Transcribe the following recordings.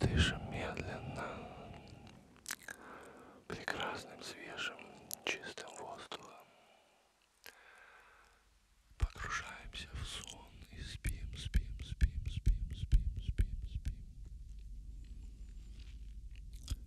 Дышим медленно, прекрасным, свежим, чистым воздухом. Погружаемся в сон и спим, спим, спим, спим, спим, спим, спим.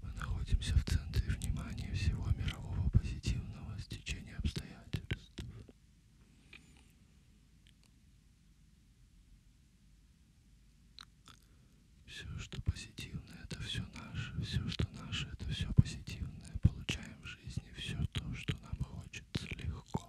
Мы находимся в центре внимания всего мирового позитивного стечения обстоятельств. Все, что позитивное, это все наше. Все, что наше, это все позитивное. Получаем в жизни все то, что нам хочется легко.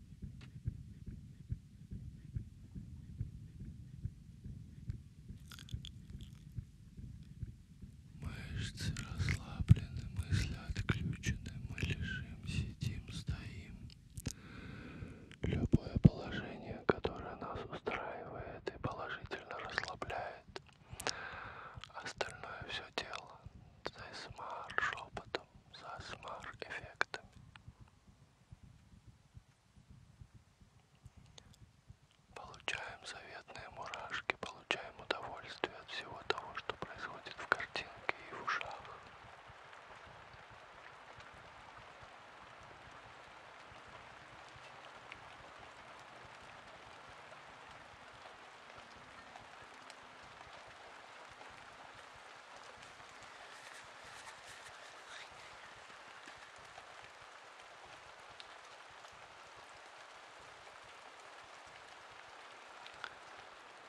Мышцы расслаблены, мысли отключены, мы лежим, сидим, стоим. Любое положение, которое нас устраивает и положительно расслабляет. Остальное все дело. Тайсмар, шепотом со смар-эффектами. Получаем заветные мурашки, получаем удовольствие от всего того, что происходит в картинке и в ушах.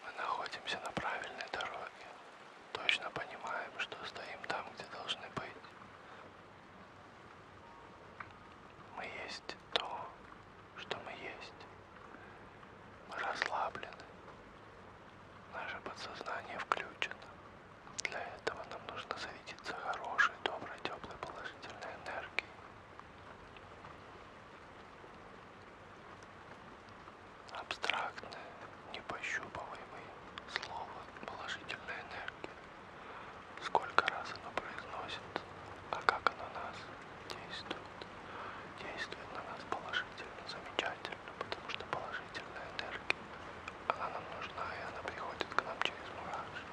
Мы находимся на правильной дороге. Точно понимаем, что стоим там, где должны быть. Мы есть то, что мы есть. Мы расслаблены. Наше подсознание включено. Для этого нам нужно зарядиться хорошей, доброй, теплой, положительной энергией. Абстрактное, непощупываемое слово «положительная энергия». Сколько раз оно произносится, а как оно нас действует действует на нас положительно, замечательно, потому что положительная энергия, она нам нужна и она приходит к нам через мурашки.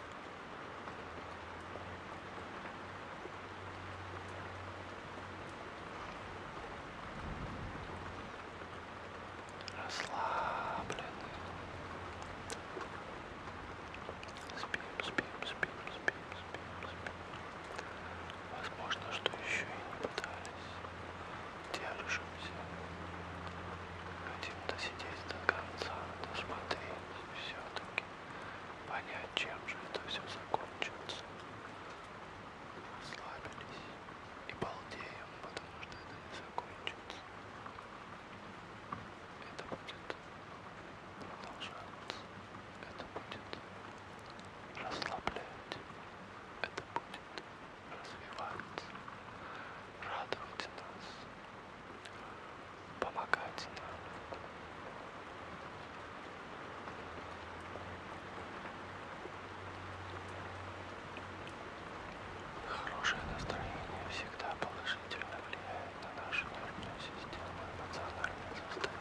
Расслаблены. Спим, спим, спим, спим успеем, успеем, успеем. Возможно, что еще и не пытались. Держимся. Хотим досидеть до конца, досмотреть все-таки. Понять, чем же это все закончится. Расслабились и балдеем, потому что это не закончится. Это будет продолжаться. Это будет расслаблять, это будет развивать, радовать нас, помогать нам. Хорошее настроение всегда положительно влияет на нашу нервную систему эмоциональное состояние.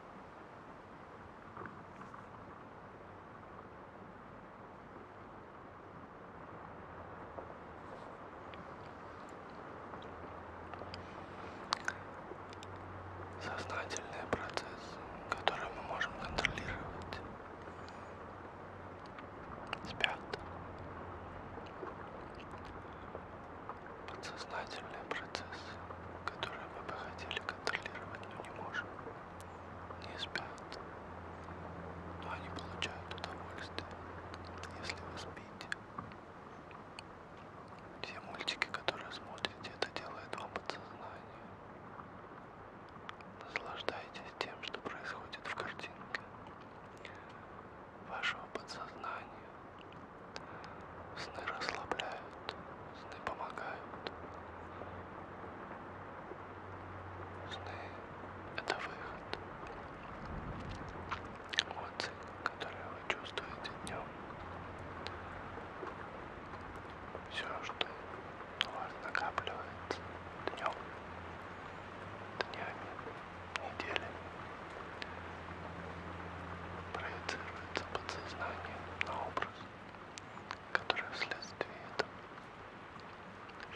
Сознательный процесс, который мы можем контролировать. Спят подсознательные процессы, которые мы бы хотели контролировать, но не можем, не спят, но они получают удовольствие, если вы спите. Все мультики, которые смотрите, это делает вам подсознание. Наслаждайтесь тем, что происходит в картинке вашего подсознания. Сны расслабляют, сны помогают. Сны — это выход. Эмоции, которые вы чувствуете днем. Все, что у вас накапливается днем, днями, неделями проецируется подсознание на образ, который вследствие этого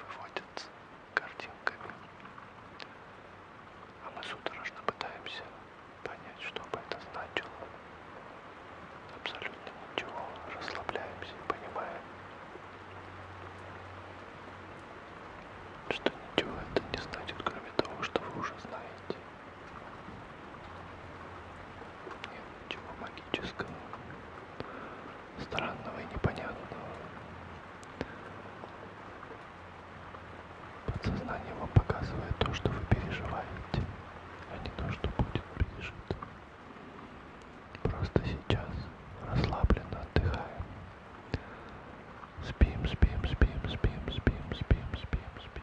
выводится картинками. А мы судорожно пытаемся понять, что бы это значило. Абсолютно ничего, расслабляемся и понимаем, что ничего это не значит, кроме того, что вы уже знаете. Нет ничего магического, странного и непонятного. Подсознание вам показывает то, что вы переживаете, а не то, что будет пережито. Просто сейчас расслабленно отдыхаем. Спим, спим, спим, спим, спим, спим, спим, спим, спим.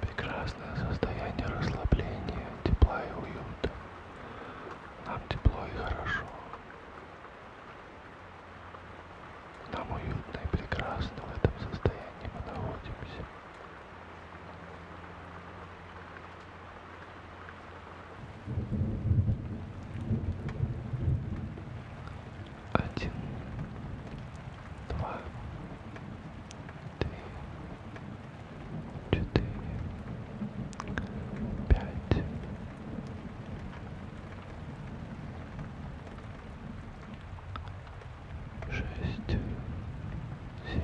Прекрасное состояние расслабления, тепла и уюта. Нам тепло и хорошо. Нам уютно и прекрасно в этом состоянии мы находимся. Один, два, три, четыре, пять, шесть, семь, восемь.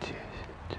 Девять, десять.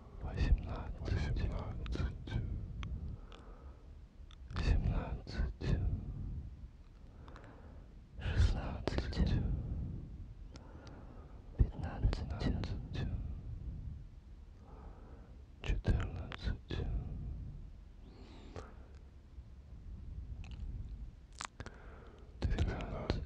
восемнадцать, восемнадцать, семнадцать, шестнадцать, пятнадцать, четырнадцать. Тринадцать,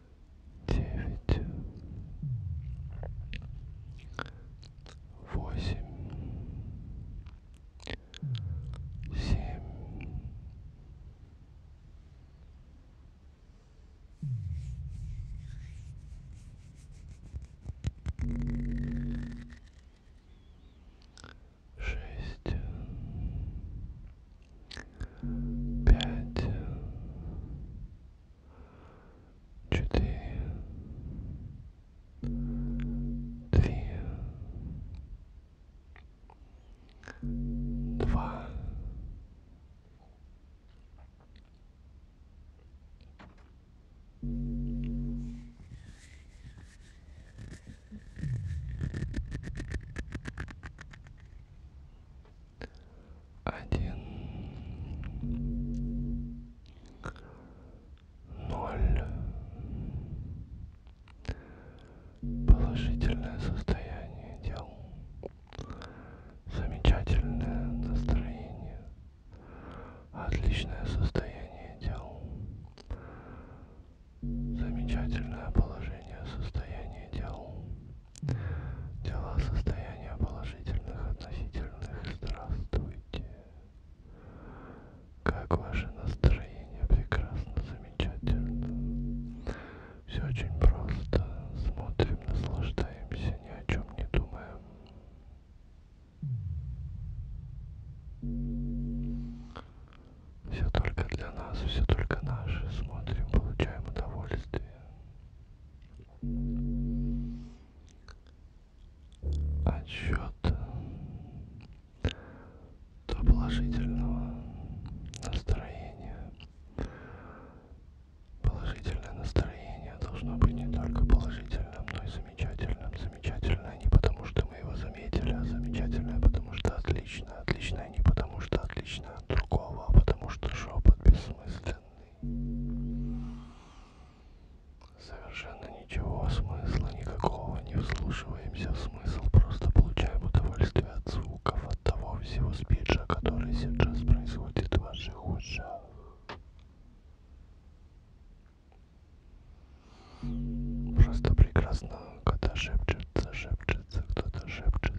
девять, восемь, семь, шесть пять, четыре, три, два, один, ноль. Положительное состояние дел. Замечательное настроение. Отличное состояние дел. Замечательное положение состояние дел. Тела состояния положительных относительных. Здравствуйте. Как ваше настроение? Прекрасно, замечательно. Все очень просто. Смотрим, наслаждаемся, ни о чем не думаем. Все только для нас, все только наше. Смотрим, получаем удовольствие отсчет до положительного настроения. Положительное настроение должно быть не только положительным, но и замечательным. Замечательное не потому, что мы его заметили, а замечательное потому, что отлично, отлично отличное не потому, что отличное от другого, а потому, что шепот бессмысленный. Совершенно ничего смысла никакого, не вслушиваемся в смысл, просто получаем удовольствие от звуков, от того всего спиджа, который сейчас происходит в ваших ушах. Просто прекрасно, когда шепчется, шепчется, кто-то шепчет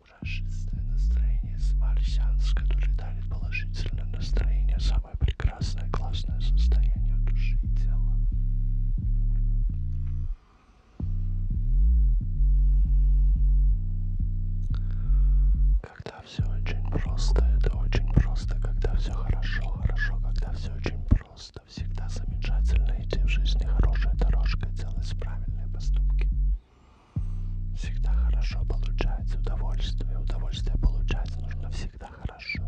мрачное настроение, смарсианс, который дарит положительное настроение, самое прекрасное, классное состояние души и тела. Когда все очень просто, это очень просто, когда все хорошо, хорошо, когда все очень просто, всегда замечательно идти в жизни хорошей дорожкой, делать правильные поступки. Всегда хорошо получается удовольствие. Удовольствие получается нужно всегда хорошо.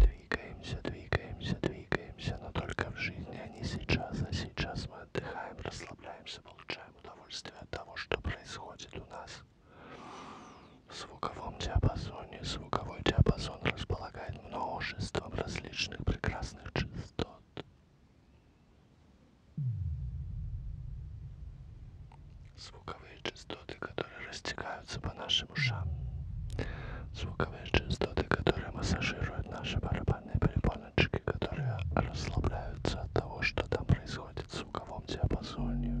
Двигаемся, двигаемся, двигаемся, но только в жизни, а не сейчас. А сейчас мы отдыхаем, расслабляемся, получаем удовольствие от того, что происходит у нас. В звуковом диапазоне звуковой диапазон располагает множеством различных прекрасных разных частот. Звуковые частоты, которые растекаются по нашим ушам. Звуковые частоты, которые массажируют наши барабанные перепоночки, которые расслабляются от того, что там происходит в звуковом диапазоне.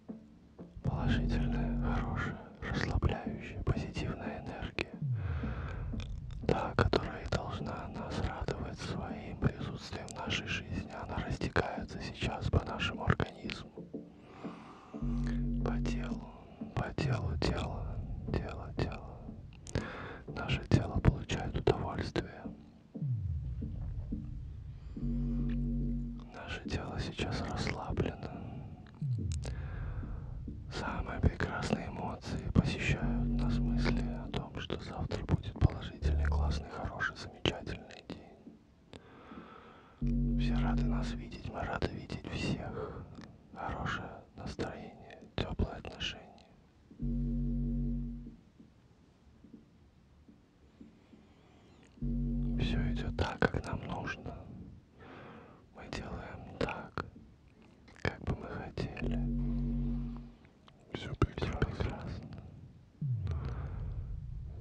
положительная, хорошая, расслабляющая, позитивная энергия, та, которая должна нас радовать своим присутствием в нашей жизни, она растекается сейчас по нашему организму, по телу, по телу тела, тело, тело. Наше тело получает удовольствие. Наше тело сейчас расслаблено. Самые прекрасные эмоции посещают нас мысли о том, что завтра будет положительный, классный, хороший, замечательный день. Все рады нас видеть, мы рады видеть всех. Хорошее настроение, теплые отношения. Все идет так, как нам нужно. Мы делаем так, как бы мы хотели. Все прекрасно. Все прекрасно.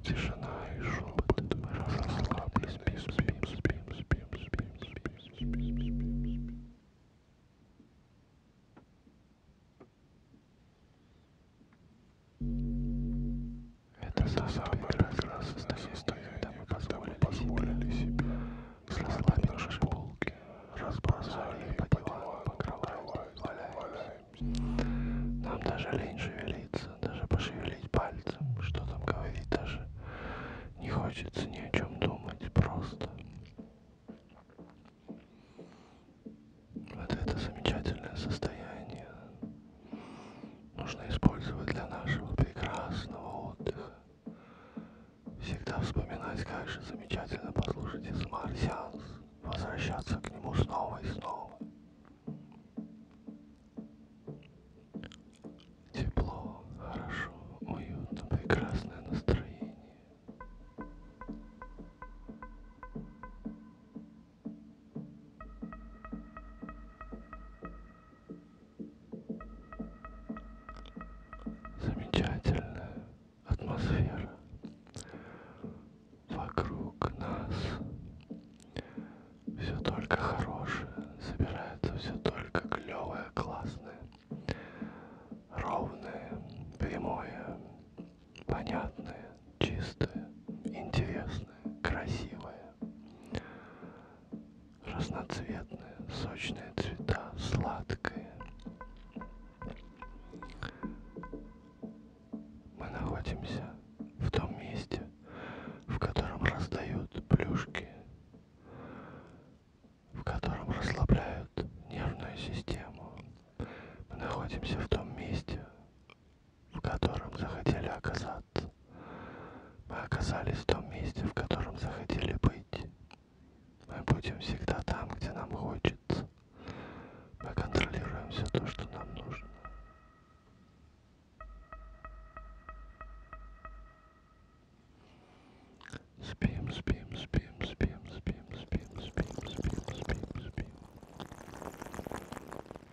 Тишина и шепот. Мы расслаблены, спим, спим, спим, спим, спим, спим, спим, спим, спим. Это самое первое состояние, когда мы позволили, позволили себе расслабить наши полки, разбросали их по дивану, по кровати, валяемся. Нам даже лень шевелиться, даже пошевелить пальцем, что там говорить даже. Не хочется ни о чем думать, просто. Вот это замечательное состояние, нужно использовать для нашего прекрасного отдыха. Всегда вспоминать, как же замечательно послушать ASMR-сеанс, возвращаться к нему снова и снова. Тепло, хорошо, уютно, прекрасное настроение. Замечательная атмосфера вокруг нас. Все только хорошее, собирается все только клевое, классное, ровное, прямое, понятное, чистое, интересное, красивое разноцветные, сочные цвета, сладкие. Мы находимся в том месте, в котором раздают плюшки, в котором расслабляют нервную систему. Мы находимся в том месте, в котором захотели оказаться нас. Мы оказались в том месте, в котором захотели быть. Мы будем всегда там, где нам хочется. Мы контролируем все то, что нам нужно. Спим, спим, спим, спим, спим, спим, спим, спим, спим, спим.